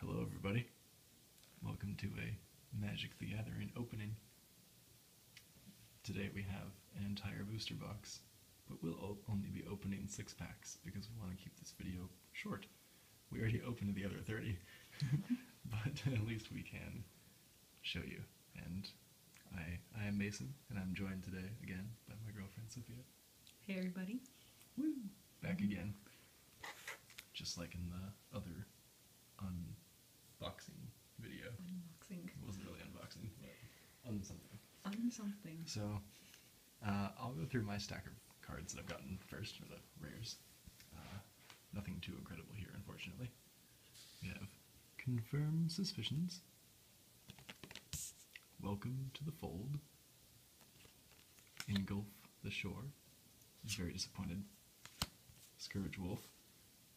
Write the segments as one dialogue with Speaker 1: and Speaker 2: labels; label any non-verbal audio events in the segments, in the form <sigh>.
Speaker 1: Hello everybody. Welcome to a Magic the Gathering opening. Today we have an entire booster box, but we'll only be opening six packs because we want to keep this video short. We already opened the other 30, <laughs> but <laughs> at least we can show you. And I, I am Mason, and I'm joined today again by my girlfriend Sophia. Hey everybody. Woo! Back again. Just like in the other unboxing video. Unboxing. It wasn't really unboxing, but on something. So, uh, I'll go through my stack of cards that I've gotten first, for the rares. Uh, nothing too incredible here, unfortunately. We have Confirm Suspicions, Welcome to the Fold, engulf the shore. He's very disappointed. Scourge Wolf.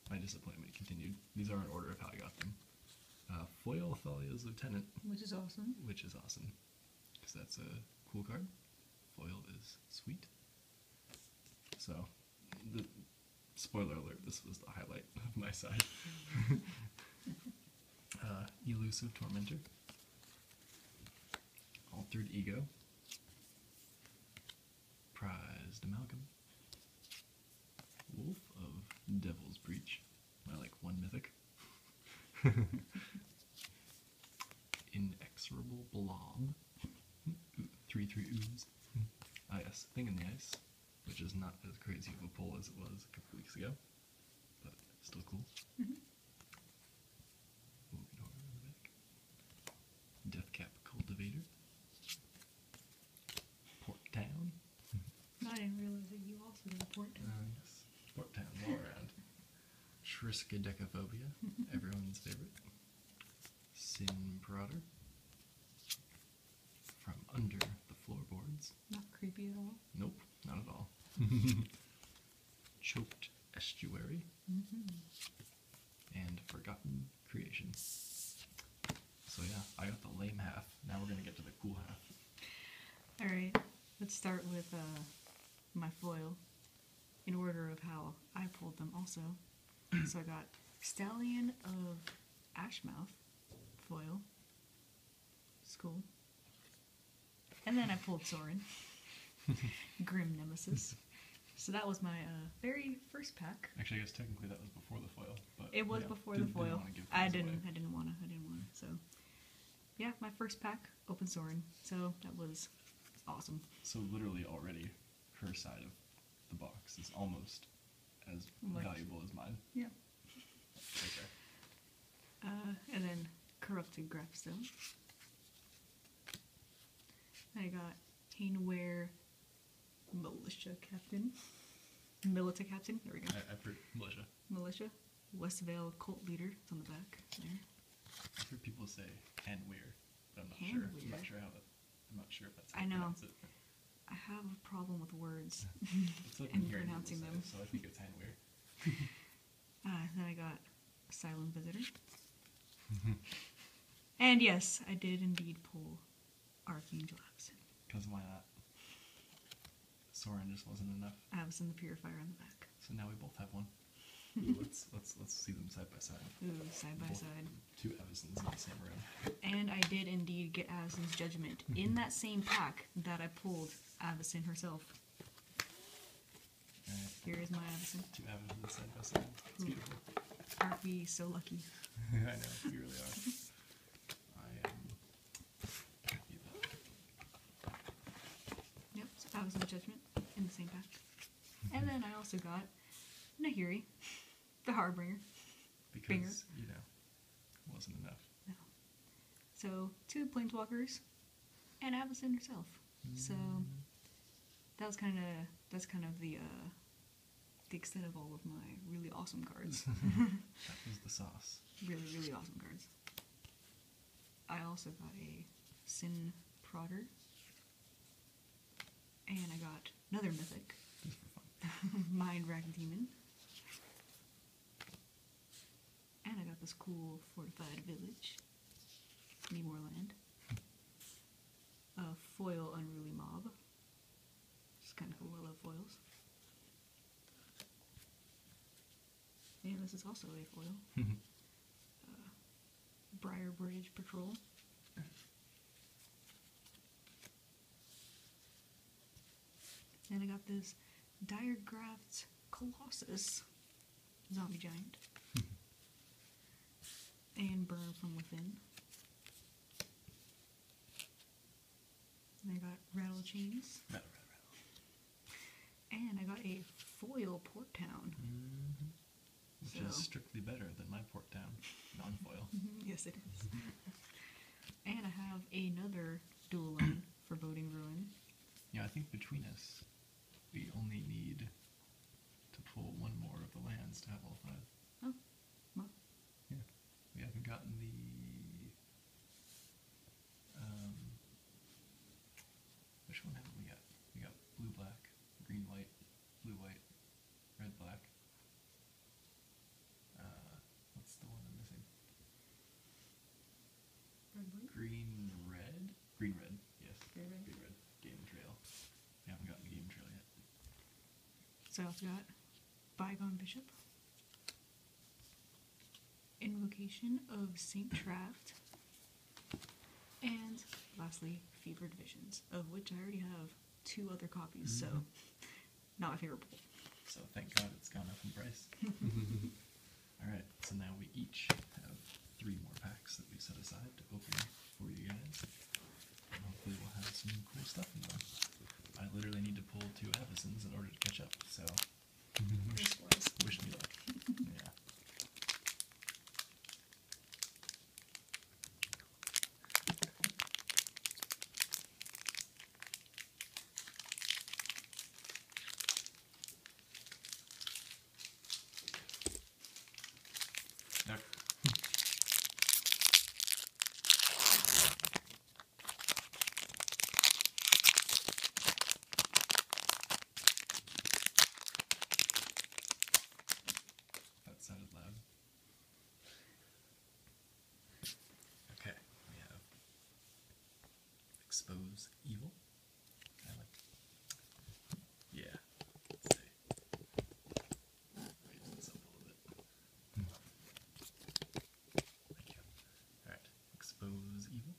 Speaker 1: My disappointment continued. These are in order of how I got them. Uh, Foil Thalia's Lieutenant.
Speaker 2: Which is awesome.
Speaker 1: Which is awesome. Because that's a cool card. Foil is sweet. So, the, spoiler alert, this was the highlight of my side. <laughs> Uh, elusive Tormentor, Altered Ego, Prized Amalgam, Wolf of Devil's Breach, I like one mythic, <laughs> Inexorable Blob, 3 3 Ooze, ah yes, Thing in the Ice, which is not as crazy of a pull as it was a couple weeks ago but still cool. Mm-hmm. Deathcap Cultivator. Port Town.
Speaker 2: <laughs> I didn't realize you also did Port Town. Uh,
Speaker 1: yes. Port Town, all around. Shriskaidekaphobia, <laughs> everyone's favorite. Sin Prodder. From under the floorboards.
Speaker 2: Not creepy at all.
Speaker 1: Nope not at all. <laughs> Choked estuary and forgotten creations. So yeah, I got the lame half. Now we're gonna get to the cool half.
Speaker 2: All right, let's start with uh, my foil in order of how I pulled them. Also, so I got stallion of Ashmouth foil school. And then I pulled Soren, <laughs> Grim Nemesis. So that was my uh, very first pack.
Speaker 1: Actually, I guess technically that was before the foil. But it was before the foil. I, didn't, I
Speaker 2: didn't. Wanna, I didn't want to. I did not want to So, yeah, my first pack, Open Soren. So that was
Speaker 1: awesome. So literally already, her side of the box is almost as valuable as mine.
Speaker 2: Yeah. Uh, and then Corrupted Graphstone. I got Hainware Militia Captain. militia Captain, there we go. I, heard Militia. Militia. Westvale Cult Leader, it's on the back there.
Speaker 1: I've heard people say Hanware, but I'm not sure. I'm not sure how if that's how I know. It.
Speaker 2: I have a problem with words <laughs> and pronouncing them.
Speaker 1: so I think it's kind of weird.
Speaker 2: <laughs> uh, then I got Asylum Visitor. Mm-hmm. <laughs> and yes, I did indeed pull Archangel Absent.
Speaker 1: Because why not? Soren just wasn't enough.
Speaker 2: I was in the purifier on the back.
Speaker 1: So now we both have one. let's let's let's see them side by side. Ooh, side by side. Two Avisons in the same room.
Speaker 2: And I did indeed get Avison's Judgment in mm-hmm. that same pack that I pulled Avison herself.
Speaker 1: Here is my Avison. Two Avisons side by side. It's beautiful.
Speaker 2: Aren't we so lucky?
Speaker 1: <laughs> I know, we really are. I am
Speaker 2: happy about it. Yep, so Judgment in the same pack. and then I also got Nahiri, the Harbinger.
Speaker 1: Because, Binger. you know, wasn't enough.
Speaker 2: No. So two planeswalkers, and Avison herself. So mm-hmm. that was kind of that's kind of the uh, the extent of all of my really awesome cards. <laughs> that
Speaker 1: was the sauce.
Speaker 2: Really, really awesome cards. I also got a Sin Prodder, and I got another mythic, <laughs> Mind Wracking Demon. And I got this cool fortified village, Nemoreland. A foil unruly mob. It's kind of cool, I love foils. Yeah, this is also a foil. <laughs> Uh, Briar Bridge Patrol. And I got this Diagraphs Colossus zombie giant. <laughs> and Burn from Within. And I got Rattle Chains. And I got a foil Port Town.
Speaker 1: Mm-hmm. Which is strictly better than my Port Town. Non foil. <laughs> yes, it is.
Speaker 2: <laughs> And I have another dueling for Voting Ruin.
Speaker 1: Yeah, I think between us, we only need to pull one more of the lands to have all five. Oh, well. Yeah, we haven't gotten the. Um, which one haven't we got? We got blue black, green white, blue white, red black, uh, what's the one I'm missing? Green red? Green red, yes. Green red. Game trail. I haven't gotten game trail yet.
Speaker 2: So I've got Bygone Bishop. Invocation of Saint Traft. And lastly, Fevered Visions, of which I already have two other copies, so mm-hmm not
Speaker 1: hearable. So thank God it's gone up in price. <laughs> All right, so now we each have three more packs that we set aside to open for you guys. hopefully we'll have some cool stuff in them. I literally need to pull two Avisons in order to catch up, so wish, wish me luck. <laughs> yeah. Yep. That sounded loud. Okay, we have expose evil. Yeah. Let's see. Raise this up a little bit. Thank you. All right. Expose evil.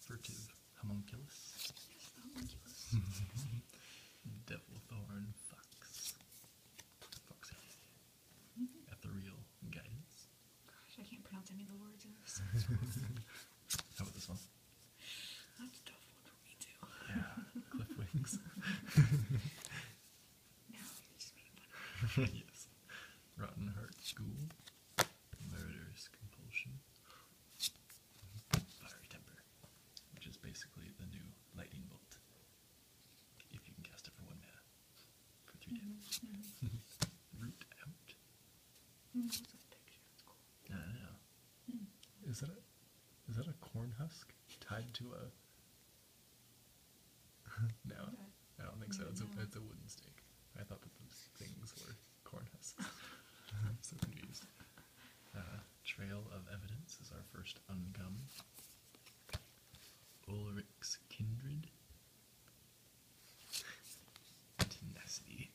Speaker 1: Furtive homunculus. <laughs> Devil thorn fox. Ethereal guidance.
Speaker 2: Gosh, I can't pronounce any of the words
Speaker 1: <laughs> How about this one?
Speaker 2: That's a tough one for me too.
Speaker 1: Yeah, cliff <laughs> wings. just making fun of me. Rotten Heart School. Murderous compulsion. Fiery temper which is basically the new lightning bolt. If you can cast it for one mana, for three
Speaker 2: mm-hmm. Mm-hmm. <laughs> Mm-hmm. mm -hmm. out. what's that texture? cool. I do
Speaker 1: Is that a is that a corn husk tied to a? <laughs> no, I don't think so. It's a wooden stake. I thought that those things were corn husks. <laughs> I'm so confused. Uh, Trail of Evidence is our first ungum. Ulrich's Kindred. Tenacity.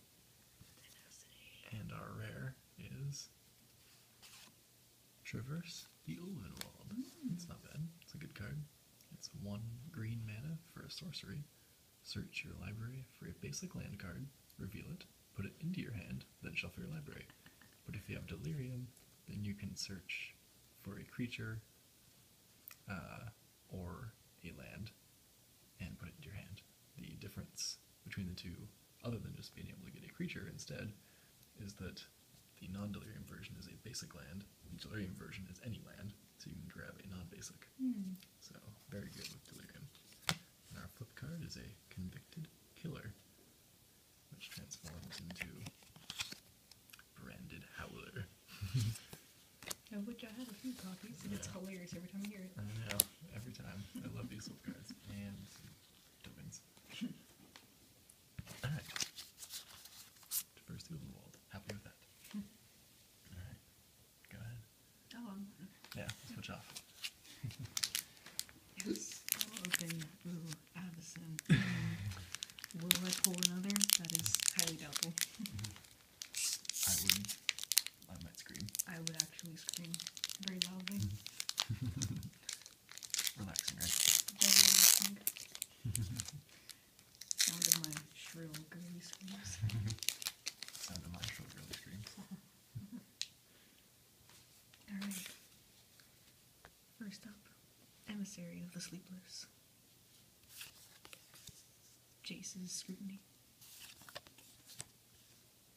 Speaker 1: And our rare is Traverse the Ulvenwald. Mm. It's not bad. It's a good card. It's one green mana for a sorcery. Search your library for a basic land card, reveal it, Put it into your hand, then shuffle your library. But if you have delirium, then you can search for a creature uh, or a land and put it into your hand. The difference between the two, other than just being able to get a creature instead, is that the non delirium version is a basic land, the delirium version is any land, so you can grab a non basic. Hmm. So, very good with delirium. And our flip card is a convicted killer which transforms into branded howler.
Speaker 2: <laughs> of which I have a few copies, and it's hilarious every time you hear it. I know,
Speaker 1: every time. I love these little cards and tokens. Alright. Diversity of the world. Happy with that. Hmm. Alright. Go ahead. Oh, i Yeah, switch off.
Speaker 2: Yes, I'll open <laughs> Will I pull another? That is highly doubtful.
Speaker 1: I would. I might scream.
Speaker 2: I would actually scream very loudly. <laughs>
Speaker 1: Relaxing, right? Sound of my shrill girly screams.
Speaker 2: <laughs> Sound of my shrill girly screams. Alright. First up, Emissary of the Sleepless. Jace's Scrutiny.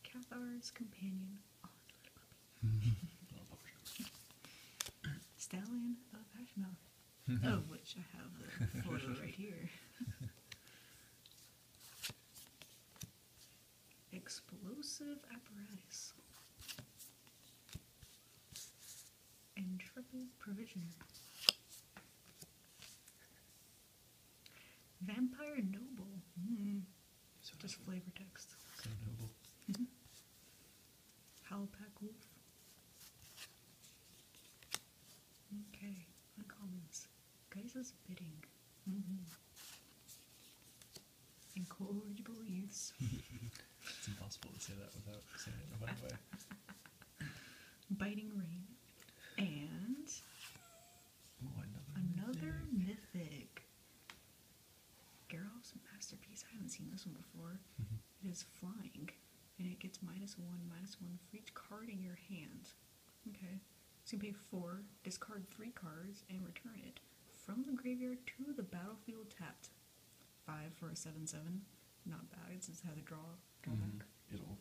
Speaker 2: Cathar's Companion.
Speaker 1: Oh, <laughs>
Speaker 2: <laughs> Stallion of Hashmouth. <laughs> of which I have the photo right here explosive apparatus, intrepid provisioner, vampire noble. Hmm. So Just flavor text. So noble. Mm mm-hmm. pack wolf. Okay, uncommons. Kaiser's bidding. Mm Incorrigible youths.
Speaker 1: <laughs> it's impossible to say that without saying it in a way.
Speaker 2: <laughs> Biting rain. And
Speaker 1: oh, another,
Speaker 2: mythic. mythic. masterpiece. I haven't seen this one before. Mm-hmm. It is flying. And it gets minus one, minus one for each card in your hand. Okay. So you pay four, discard three cards, and return it from the graveyard to the battlefield tapped. Five for a seven seven. Not bad. It's just how a draw.
Speaker 1: Mm-hmm. It'll.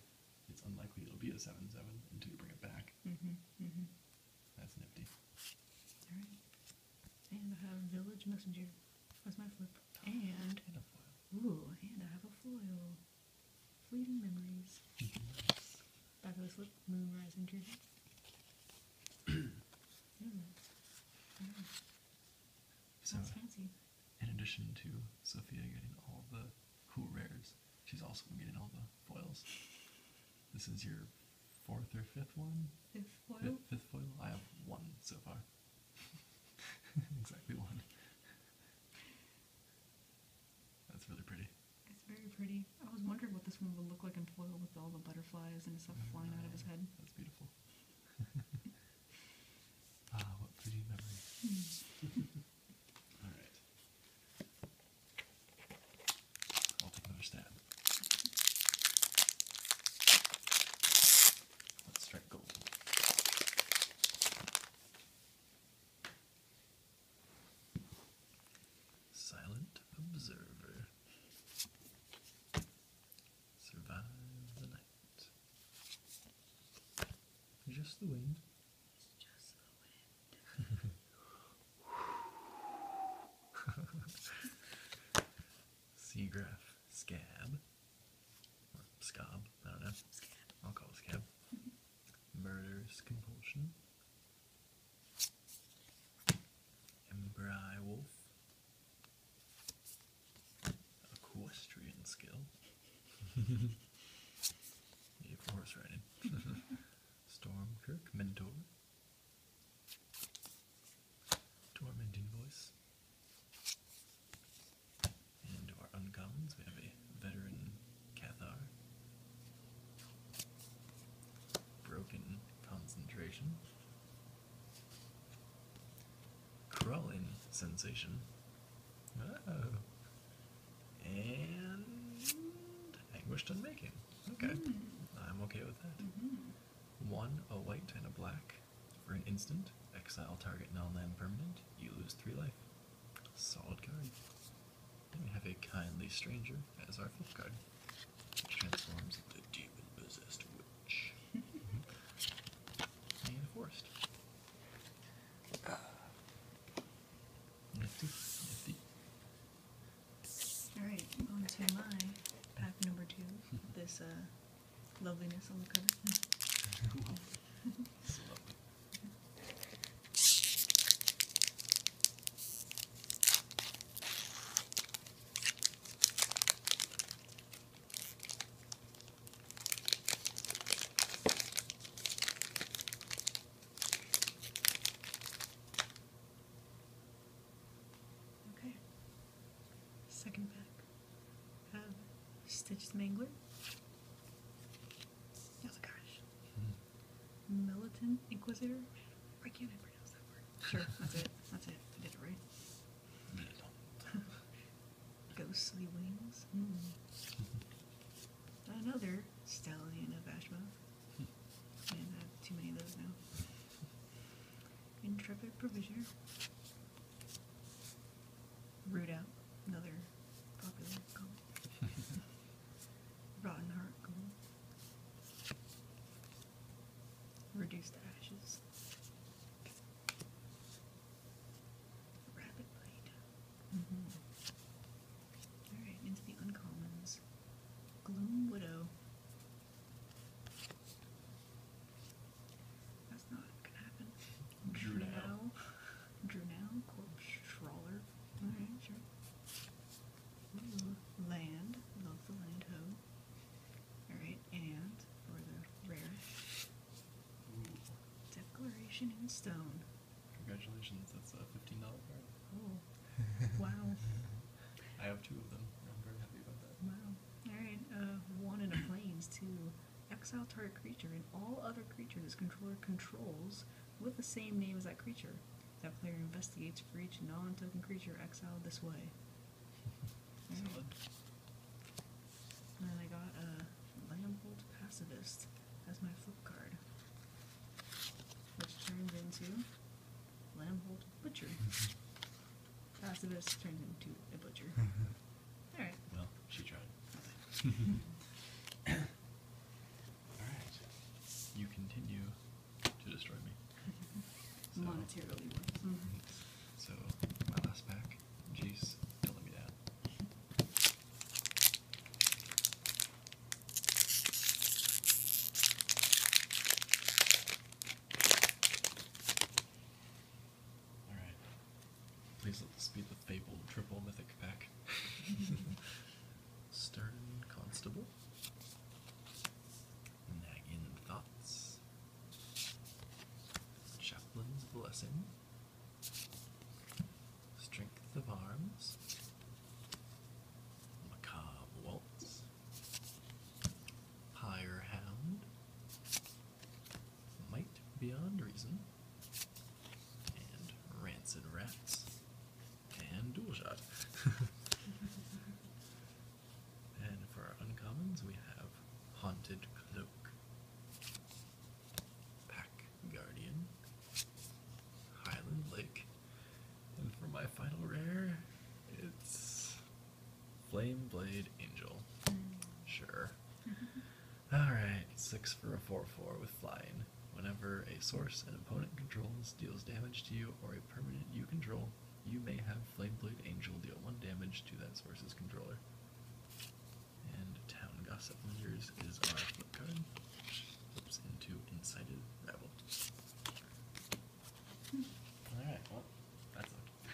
Speaker 1: It's unlikely it'll be a seven seven until you bring it back. Mm-hmm. Mm-hmm. That's nifty.
Speaker 2: All right. And I have village messenger. That's my flip. <gasps> And, Ooh, and I have a foil. <clears throat>
Speaker 1: In addition to Sophia getting all the cool rares, she's also getting all the foils. This is your fourth or fifth one? Fifth foil? fifth foil? I have one so far. <laughs> exactly one. That's really pretty.
Speaker 2: It's very pretty. I was wondering what this one would look like in foil with all the butterflies and stuff <laughs> flying out of his head. That's beautiful. <laughs>
Speaker 1: ah, what pretty memories. Hmm. <laughs> all right. I'll take another stab. Let's strike gold. Silent observer. Survive the night. Just the wind. It's just <laughs> scab. scab, I don't know. I'll call scab. Murderous Compulsion, Ember Eye Wolf, Equestrian Skill, yeah, <laughs> for horse riding, <laughs> Stormkirk Mentor, Tormenting Voice, and our uncommons, we have a veteran Cathar. Broken concentration. Crawling sensation. Oh. And anguished unmaking. Okay. Mm-hmm. I'm okay with that.
Speaker 2: Mm-hmm.
Speaker 1: One, a white and a black. For an instant, exile target non land permanent. You lose three life. Solid guard. Then we have a kindly stranger as our flip guard. Which transforms the demon possessed witch. <laughs> and a forest. Uh.
Speaker 2: Nifty, Alright, on to my
Speaker 1: pack number two.
Speaker 2: this uh, loveliness on the cover. it's <laughs> lovely. <laughs> Okay. Second pack Stitch Stitched Mangler. Militant Inquisitor? Why can't pronounce that word? Sure, that's it. That's it. I did it right. <laughs> Ghostly Wings? Hmm. Another Stallion of Ashmouth. too many of those now. Intrepid Provisioner root out another popular comic. <laughs> Rotten Heart Reduced to Ashes. Rapid Blade. Mm-hmm. Alright, into the uncommons. Gloom Widow. That's not gonna happen.
Speaker 1: Drow.
Speaker 2: Dronau, Corp. Stroller, alright, sure. land, love the land ho. Alright, and for the rare Declaration in Stone.
Speaker 1: Congratulations, that's a $15 card. Oh, <laughs> wow. I have two of them. I'm very happy about that. Wow.
Speaker 2: Alright, uh, one in a planes, too. Exile target creature and all other creatures its controller controls with the same name as that creature. That player investigates for each non token creature exiled this way. And then I got a Lambolt Pacifist as my flip card, which turns into Lambolt Butcher. Pacifist turns into a butcher. <laughs> All right.
Speaker 1: Well, she tried. <laughs> All right. You continue to destroy me.
Speaker 2: Monetarily mm-hmm.
Speaker 1: So, my last pack. Jeez, do me down. Alright. Please let this be the fabled triple mythic pack. <laughs> Stern Constable. Nagging Thoughts. Chaplain's Blessing. Strength of Arms. Macabre Waltz. Pyre Hound. Might Beyond Reason and Rancid Rats, and Dual Shot. <laughs> and for our uncommons, we have Haunted Cloak, Pack Guardian, Highland Lake, and for my final rare, it's Flame Blade Angel. Mm. Sure. <laughs> Alright, 6 for a 4 4 with flying. Whenever a source an opponent controls deals damage to you or a permanent you control, you may have Flameblade Angel deal 1 damage to that source's controller. And Town Gossip Lingers is our flip card. Flips into Incited Rabble. Hmm. Alright, well, that's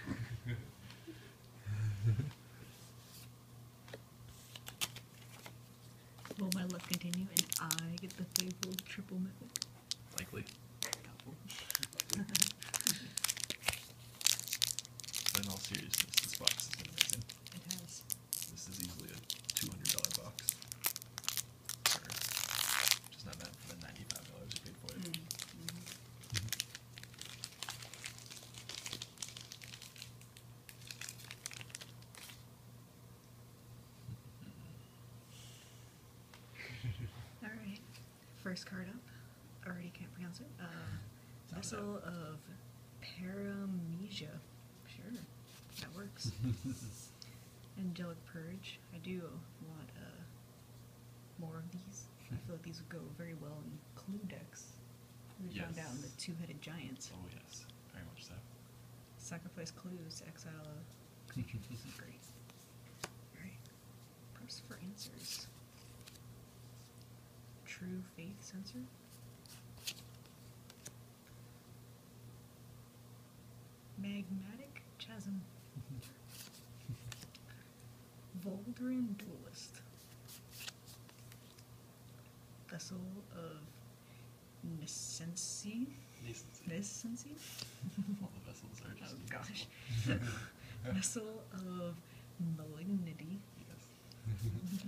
Speaker 1: <laughs> <laughs>
Speaker 2: Will my luck continue and I get the fabled triple method?
Speaker 1: Likely. <laughs> in all seriousness, this box has amazing. It has. This is easily a two hundred dollar box. just not bad for ninety five dollars paid for it. Mm-hmm. Mm-hmm. Mm-hmm.
Speaker 2: All right. First card up. Already can't pronounce it. Uh, vessel of Paramnesia. Sure, that works. <laughs> Angelic Purge. I do want uh, more of these. I feel like these would go very well in clue decks. We found out in the two-headed giants.
Speaker 1: Oh, yes, very much so.
Speaker 2: Sacrifice clues, exile
Speaker 1: a creature. This is great.
Speaker 2: Alright. Press for answers. True faith sensor? Magmatic chasm. <laughs> Voldrin Duelist. Vessel of Nissensi. Nissensi? <laughs>
Speaker 1: All the vessels are just. Oh gosh. <laughs>
Speaker 2: <laughs> Vessel of Malignity. Yes.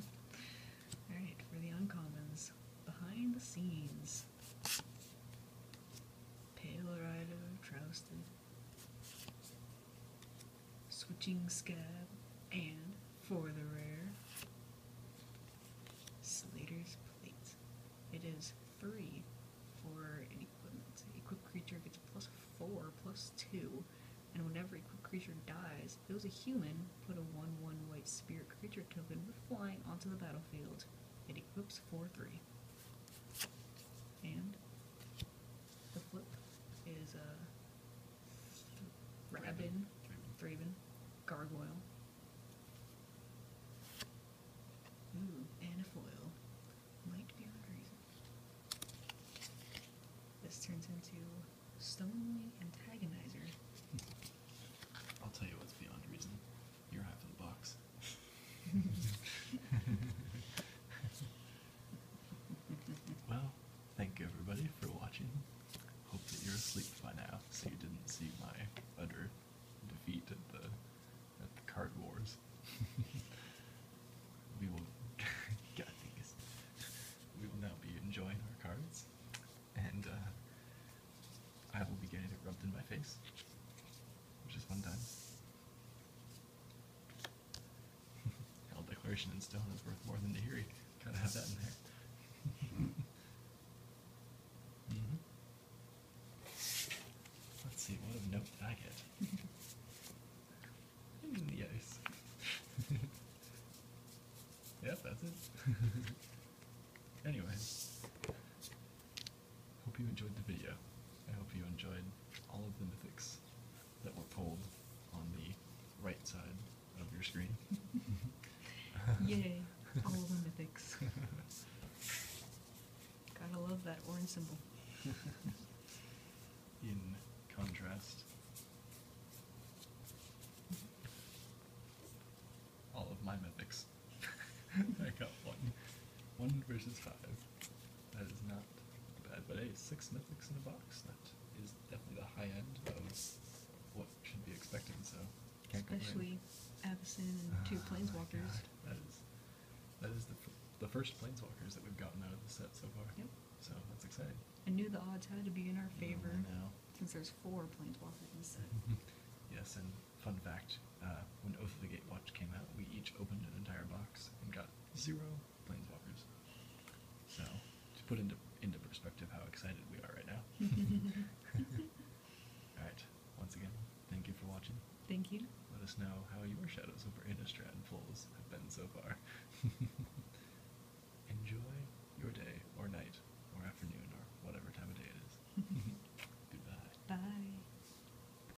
Speaker 2: Alright, for the uncommons. Behind the scenes. Pale Rider, Trousted. Switching Scab, and for the rare, Slater's Plate. It is 3 for an equipment. Equipped creature gets plus 4, plus 2, and whenever equipped creature dies, if it was a human, put a 1 1 white spirit creature token with flying onto the battlefield. It equips 4 3. And is a uh, Rabin, Gargoyle. Ooh, and Might be a reason. This turns into Stonely antagonist.
Speaker 1: <laughs> I'll tell you what's beyond reason. You're half of the box. <laughs> <laughs> Well, thank you everybody for watching. Hope that you're asleep by now, so you didn't see my utter defeat at the at the card wars. <laughs> we will <laughs> God these. We will now be enjoying our cards, and uh, I will be getting it rubbed in my face. Just one time. <laughs> All declaration in stone is worth more than the hearing. Gotta have that in there. let <laughs> mm-hmm. Let's see, what a note did I get? <laughs> yes. yep, that's it. anyway, hope you enjoyed the video. I hope you enjoyed all of the myths that were pulled on the right side of your screen. <laughs> Yay, <laughs> all the mythics.
Speaker 2: Gotta love that orange symbol. <laughs>
Speaker 1: In contrast, all of my mythics. I got one. One versus five. That is not bad, but hey, six mythics in a box. That is definitely the high end of what should be expected. So, especially Avison and two ah, planeswalkers. That is that is the the first planeswalkers that we've gotten out of the set so far. Yep. So that's exciting.
Speaker 2: I knew the odds had to be in our mm, favor. No, since there's four planeswalkers in the set.
Speaker 1: <laughs> yes, and fun fact: uh, when Oath of the Gatewatch came out, we each opened an entire box and got zero planeswalkers. So to put into into perspective how excited we are right now. <laughs> All right. Once again, thank you for watching. Thank you. Let us know how your shadows over Innistrad and Fools have been so far. <laughs> Enjoy your day or night or afternoon or whatever time of day it is. <laughs> Goodbye.
Speaker 2: Bye.